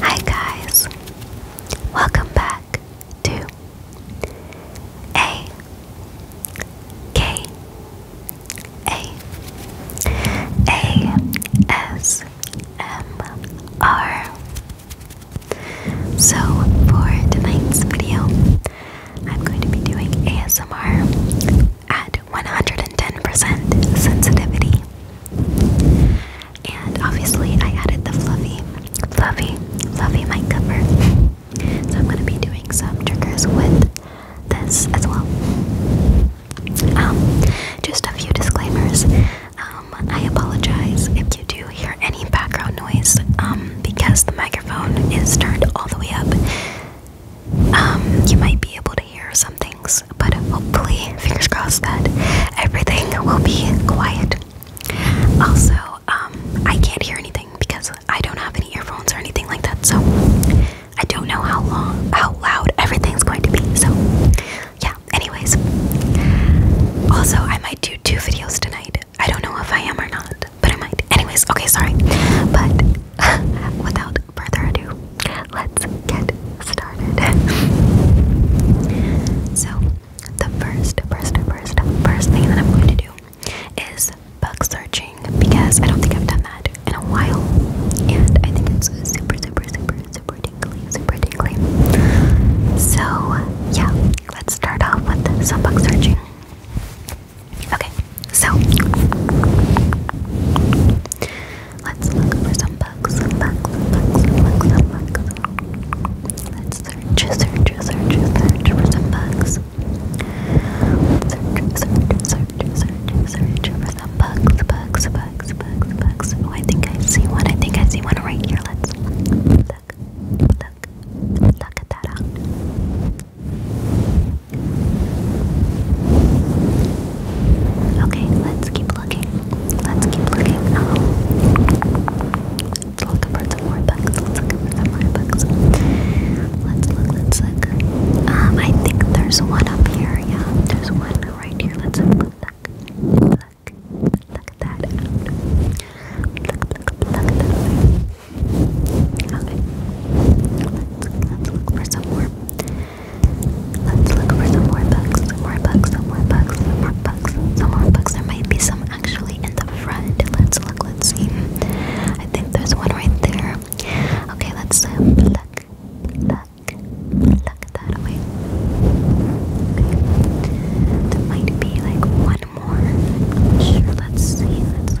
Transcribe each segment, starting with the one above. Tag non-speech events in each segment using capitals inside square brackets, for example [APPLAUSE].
Hi guys, welcome back to A K A A S M R. So for tonight's video, I'm going to be doing ASMR at 110% sensitivity. And obviously, I added the fluffy, fluffy, fluffy mic cover. So I'm going to be doing some triggers with this as well. Um, just a few disclaimers. Um, I apologize if you do hear any background noise um, because the microphone is turned all the way up um, you might be able to hear some things, but hopefully, fingers crossed, that everything will be quiet. Also, um, I can't hear anything because I don't have any earphones or anything like that, so I don't know how long, how loud everything's going to be. So, yeah. Anyways, also, I might do two videos tonight. I don't know if I am or not but I might. Anyways, okay, sorry. But [LAUGHS] without further ado, let's get started. [LAUGHS] so, the first, first, first, first thing that I'm going to do is bug searching because I don't think I've done that in a while, and I think it's super, super, super, super tingly, super tingly. So, yeah, let's start off with some bug searching. Okay, so let's look for some bugs, Let's search, search, search, search for some bugs. Search, search, search, search, search for some bugs, bugs, bugs, bugs, bugs. Oh, I think I see one. I think I see one right here. Let's look, look, look at that Okay, let's keep looking. Let's keep looking. Um, let's look for some more bugs. Let's look for some more bugs. Let's look, let's look. Um, I think there's one up here. Yeah, there's one right here. Let's have a look. Look, look, look at that. Look, look, look at that. Okay. Let's, look for some more. Let's look for some more bugs. Some more bugs. Some more bugs. Some more bugs. Some more bugs. There might be some actually in the front. Let's look. Let's see. I think there's one right there. Okay. Let's uh, um, pluck, pluck, pluck that away. There might be like one more. sure. Let's see. Let's.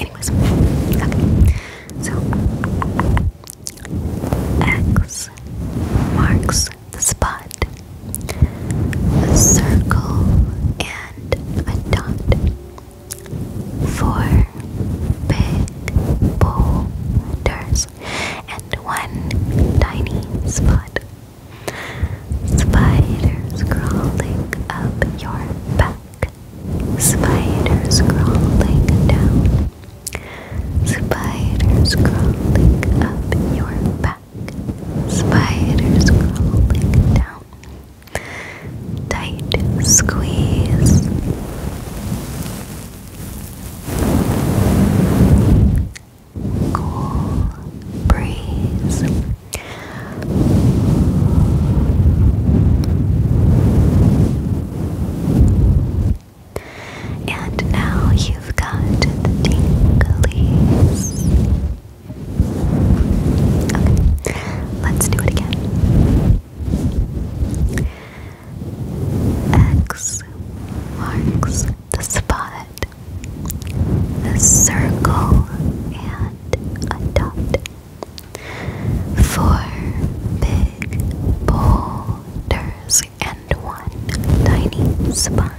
Anyways, okay. So X marks the spot. A circle and a dot. Four big boulders and one tiny spot. Spiders crawling up your back. Spiders crawling down. Spiders crawling up your back. Spiders crawling down. Tight squeeze. Cool breeze. And now you've got the tinglies. let's do it again. X marks the spot, a circle, and a dot. Four big boulders and one tiny spot.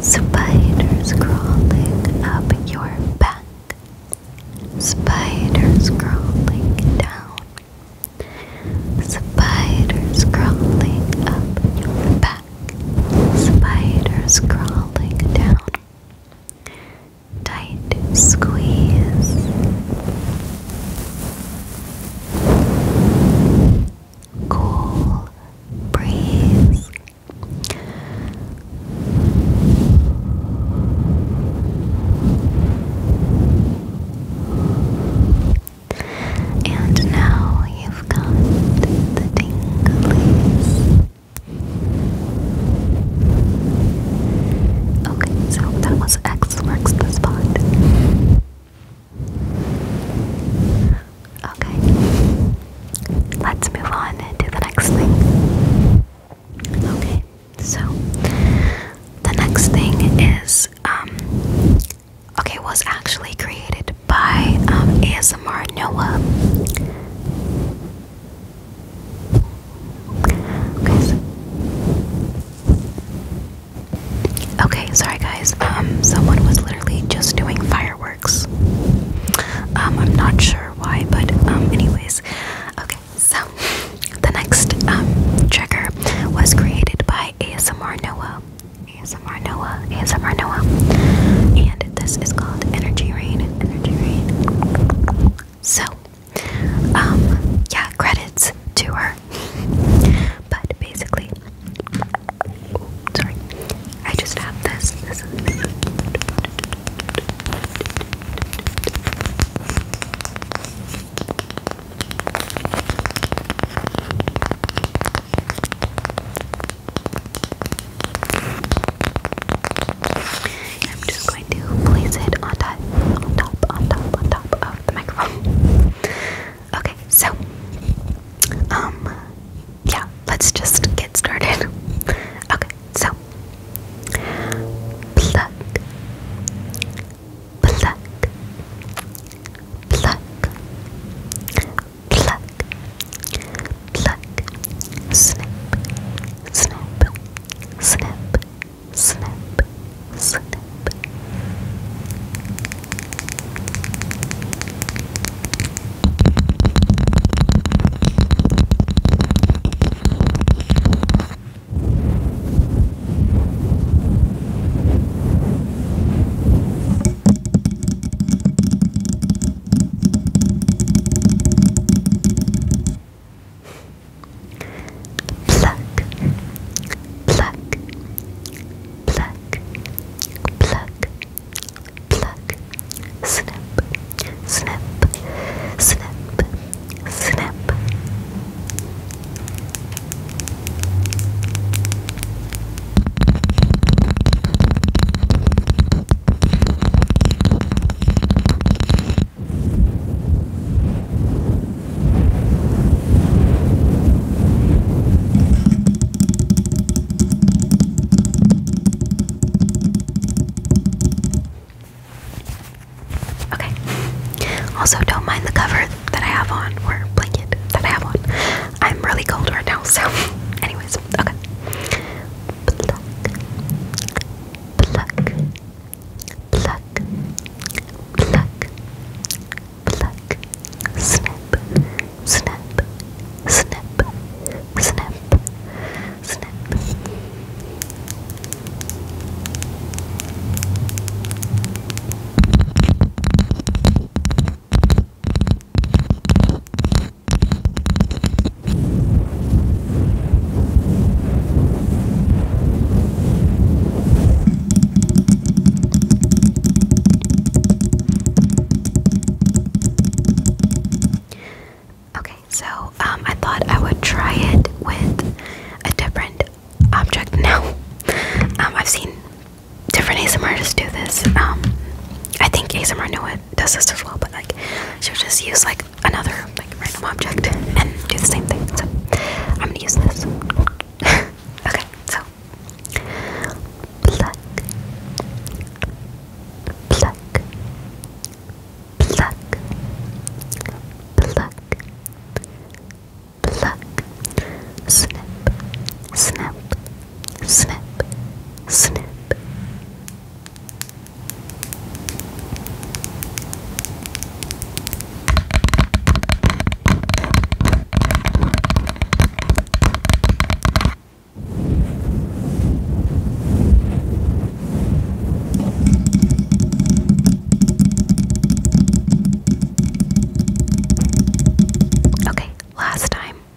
Spiders crawling up your back. Spiders crawling down. Spiders crawling up your back. Spiders crawling down. Tight squeeze. Cool breeze. And now you've got the tinglies. Okay, so that was X marks the spot. Okay, let's move on to the next thing. Okay, so the next thing is, um, okay, was actually created by um, ASMR Noah. Okay, sorry guys. Um, someone was literally just doing fireworks. Um, I'm not sure why, but um, anyways. Okay, so [LAUGHS] the next um trigger was created by ASMR Noah. ASMR Noah Noah, ASMR Noah, and this is called Energy Rain, Energy Rain. So, um, yeah, credits to her. [LAUGHS] but basically, sorry, I just have this. I'm just going to place it on top, on top, on top, on top of the microphone. Okay, so, um, yeah, let's just get started. Okay, so, pluck, pluck, pluck, pluck, pluck, snip, snip, snip, snip, snip. Pluck, pluck, pluck, pluck, pluck, snip, snip, snip, snip. Pluck, Okay. Also, don't mind the cover that I have on, or blanket that I have on. I'm really cold right now, so, anyways, okay. Pluck, pluck, pluck, pluck, pluck, snip, snip, snip, snip, snip. Pluck, Okay, so um, I thought I would try it with a different object [LAUGHS] now. Um, I've seen different ASMR just do this. Um, I think ASMR it does this as well, but like she'll just use like another like random object and do the same thing. So I'm gonna use this. [LAUGHS] okay, so pluck, pluck, pluck, pluck, pluck, snip, snip. Snap. Snap. Okay, last time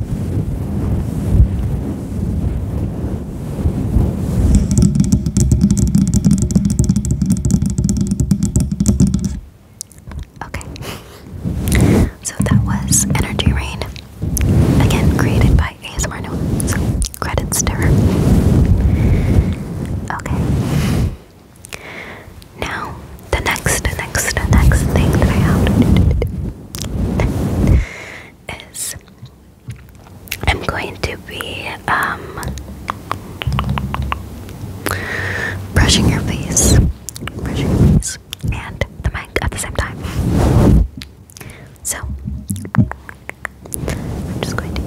Okay. [LAUGHS] so that was Energy Rain. Again, created by ASMR credits to her. Okay. Now, the next, next, next thing that I is I'm going to be um, brushing your face, brushing your face, and the mic at the same time. So I'm just going to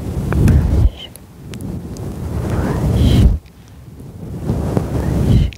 brush, brush, brush. brush, brush, brush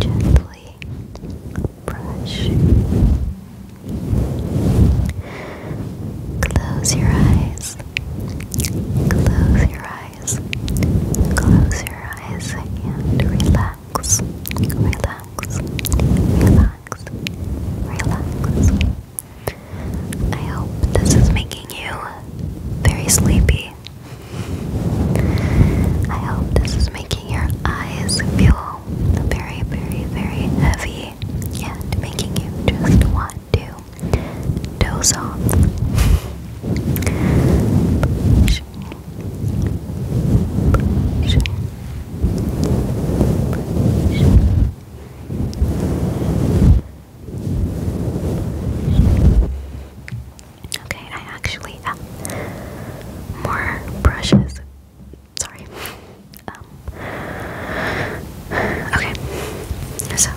Gently brush. Close your eyes. Close your eyes. Close your eyes and relax. Relax. Relax relax, I hope this is making you very sleepy. I hope this is making your eyes feel very, very, very heavy and making you just want to doze off brush, brush. Okay, I actually have more brushes. Sorry. Um, okay, so.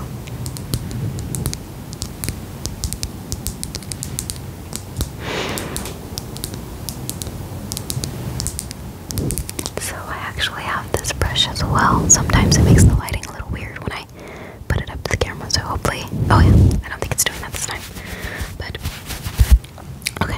So I actually have this brush as well. Sometimes it makes the lighting a little weird when I put it up to the camera, so hopefully oh yeah, I don't think it's doing that this time. But okay.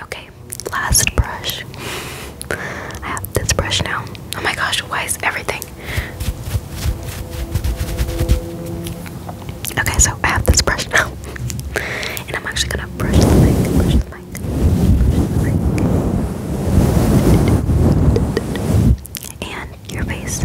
Okay, last brush. I have this brush now. Oh my gosh, why is everything? Okay, so I have this brush now. [LAUGHS] and I'm actually gonna brush the mic, brush brush the mic. And your face.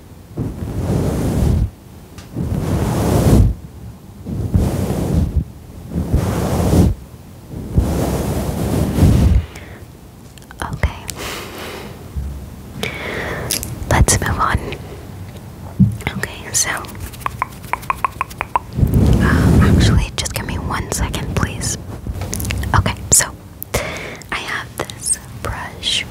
Okay. Let's move on. Okay, so um, actually, just give me one second, please. Okay, so I have this brush.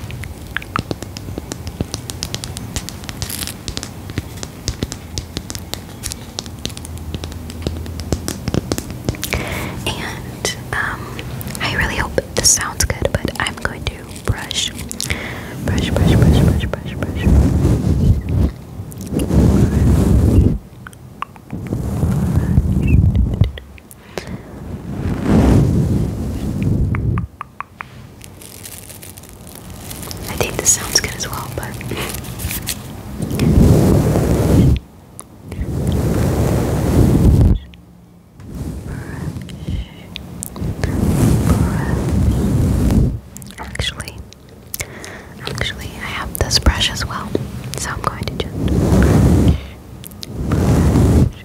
And um, I really hope this sounds good, but I'm going to brush, brush, brush, brush, brush, brush, brush. brush. I think this sounds good as well, but Actually, actually, I have this brush as well, so I'm going to just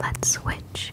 Let's switch.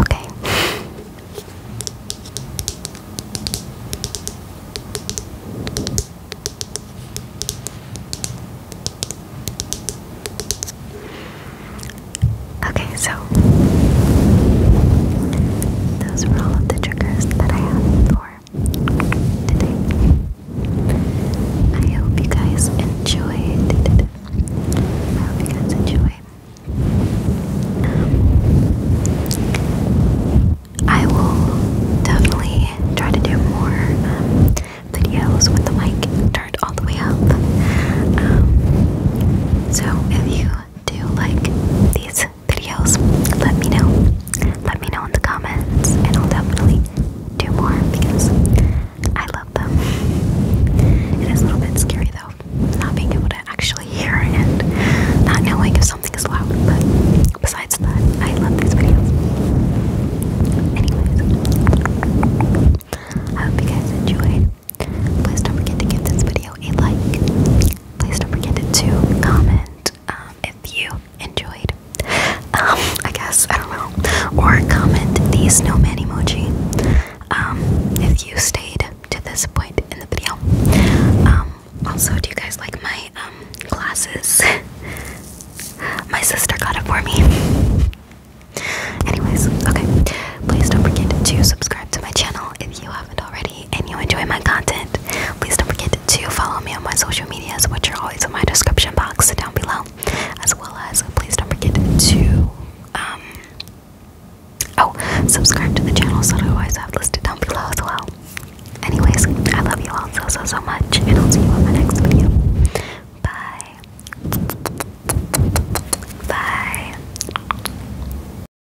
Okay. Okay, so those were all of the triggers that I have for I hope you guys enjoy. I hope you guys enjoyed. Um, I will definitely try to do more um, videos with the mic turned all the way up. Um, so if you do like these videos, let me know. Let me know in the comments, and I'll definitely do more because I love them. It is a little bit scary though, not being able to actually hear and not knowing if something is loud, but besides that, I love these videos. Anyways, I hope you guys enjoyed. Please don't forget to give this video a like, please don't forget to comment um, if you enjoyed. Um, I guess I don't know, or comment the snowman emoji um, if you stayed to this point in the video. also, do you guys like my glasses? [LAUGHS] my sister got it for me. Anyways, okay. Please don't forget to subscribe to my channel if you have already and you enjoy my content, please don't forget to follow me on my social medias, which are always in my description box down below. As well as, please don't forget to, um, oh, subscribe to the channel so that I always have listed down below as well. Anyways, I love you all so, so, so much, and I'll see you on my next video. Bye. Bye.